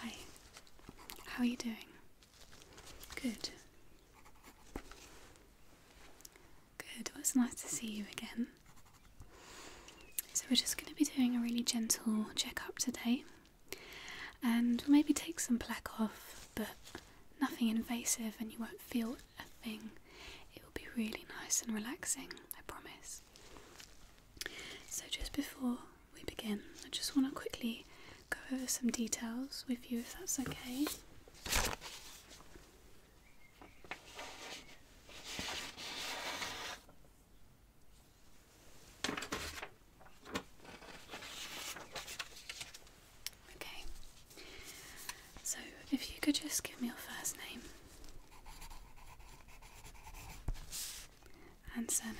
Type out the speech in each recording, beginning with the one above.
Hi. How are you doing? Good. Good. it's nice to see you again. So, we're just going to be doing a really gentle checkup today and maybe take some plaque off, but nothing invasive, and you won't feel a thing. It will be really nice and relaxing, I promise. So, just before we begin, I just want to quickly go over some details with you if that's okay. Okay, so if you could just give me your first name and surname.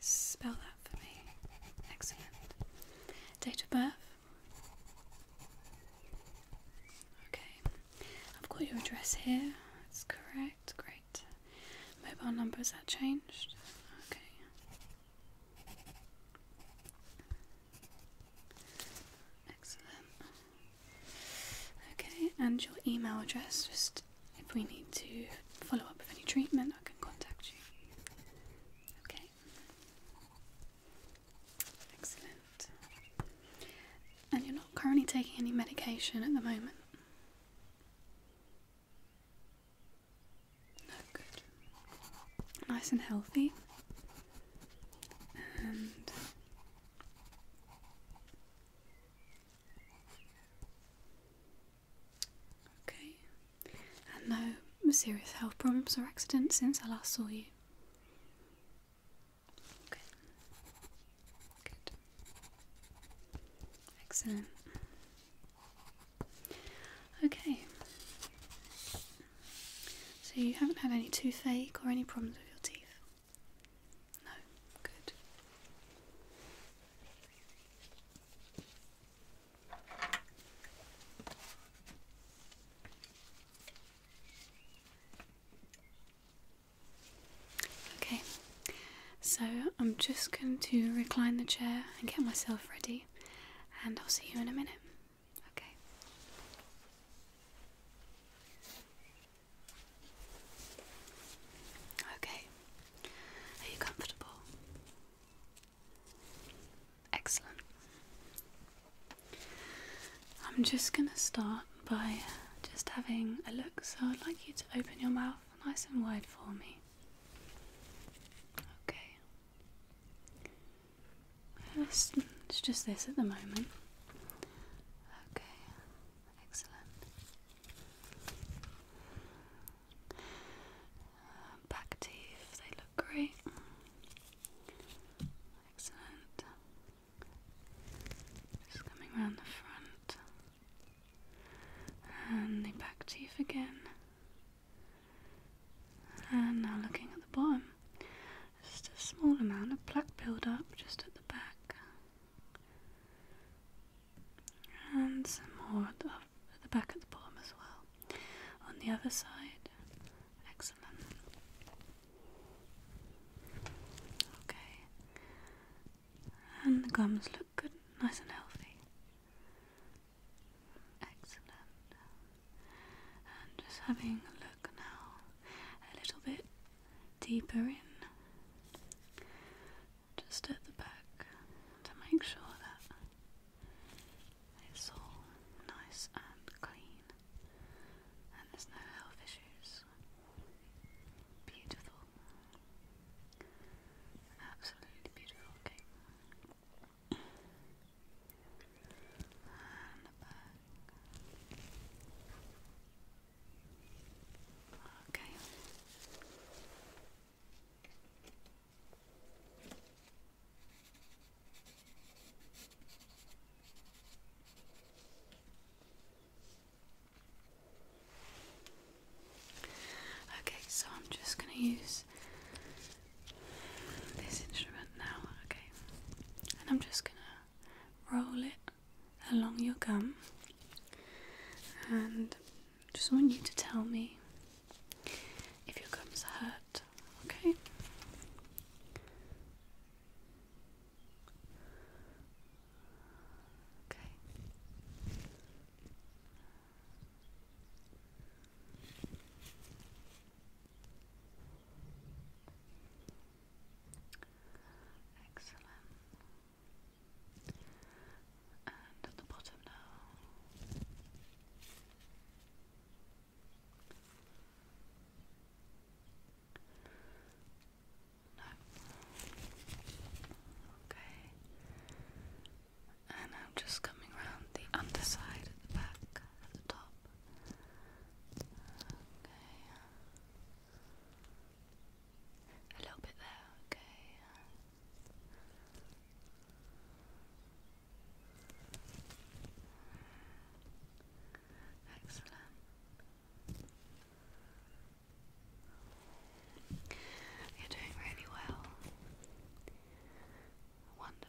Spell that for me. Excellent. Date of birth. Okay, I've got your address here. That's correct. Great. Mobile numbers is changed? Okay. Excellent. Okay, and your email address, just if we need to follow up with any treatment, I can contact you. Okay. Excellent. And you're not currently taking any medication at the moment? No, good. Nice and healthy. And Okay, and no serious health problems or accidents since I last saw you. Okay, good, excellent. Okay, so you haven't had any toothache or any problems with your teeth? No, good. Okay, so I'm just going to recline the chair and get myself ready, and I'll see you in a minute. Okay. Okay. Are you comfortable? Excellent. I'm just going to start by just having a look. So I'd like you to open your mouth nice and wide for me. Okay it's just this at the moment. Okay, excellent. Uh, back teeth, they look great. Excellent. Just coming around the front and the back teeth again. And now looking at the bottom. Just a small amount of plaque buildup just at the back. And some more at the, back at the bottom as well. On the other side. Excellent. Okay. And the gums look good, nice and healthy. Excellent. And just having a look now a little bit deeper in, just at the back to make sure that it's all nice and clean and there's no health issues. Beautiful. Absolutely beautiful Okay. Okay, so I'm just going to use this instrument now, okay? And I'm just gonna roll it along your gum, and just want you to tell me if your gums hurt, okay? Okay. Excellent. And at the bottom now. No. Okay and I'm just coming around the underside at the back, at the top. Okay. A little bit there, okay. Excellent. You're doing really well. Wonderful.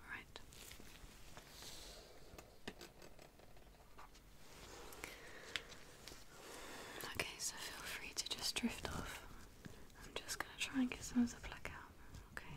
All right. Okay, so feel free to just drift off. I'm just going to try and get some of the plug out, okay?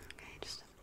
Okay, just in the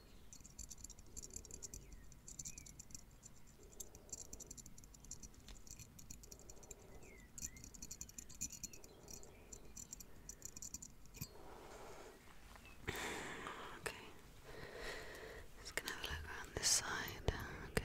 Okay. Just gonna have a look around this side. Okay.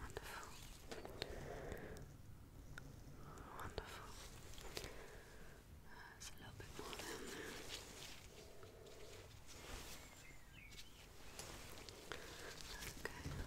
Wonderful. Wonderful. a little bit more down there. Okay.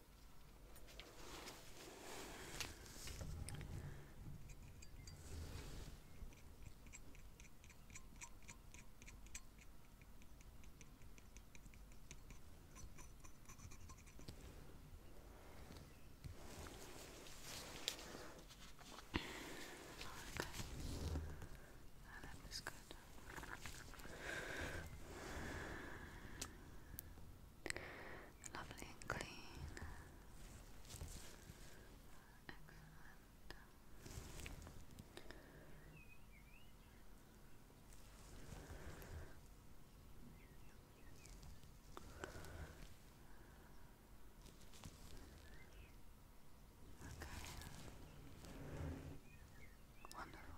I love this good. Good lovely and clean. Excellent. Okay. Wonderful.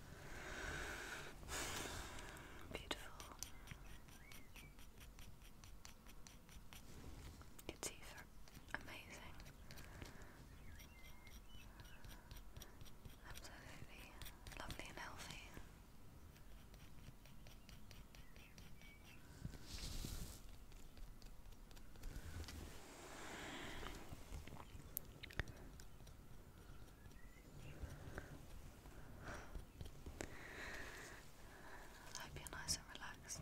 Beautiful. you teeth are amazing. Absolutely lovely and healthy. I hope you're nice and relaxed.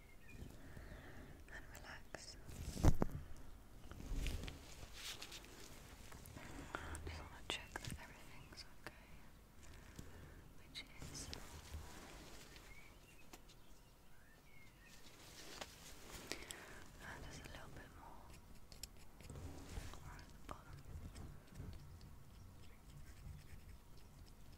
and relax. just want to check that everything's okay, which is. Uh, a little bit more. Right the bottom.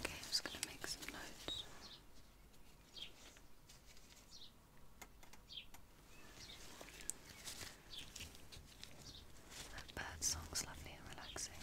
Okay, I'm just going to make some notes. That bird song's lovely and relaxing.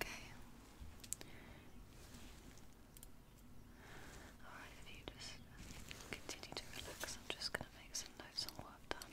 Okay. Alright, if you just continue to relax, I'm just going to make some notes on what I've done.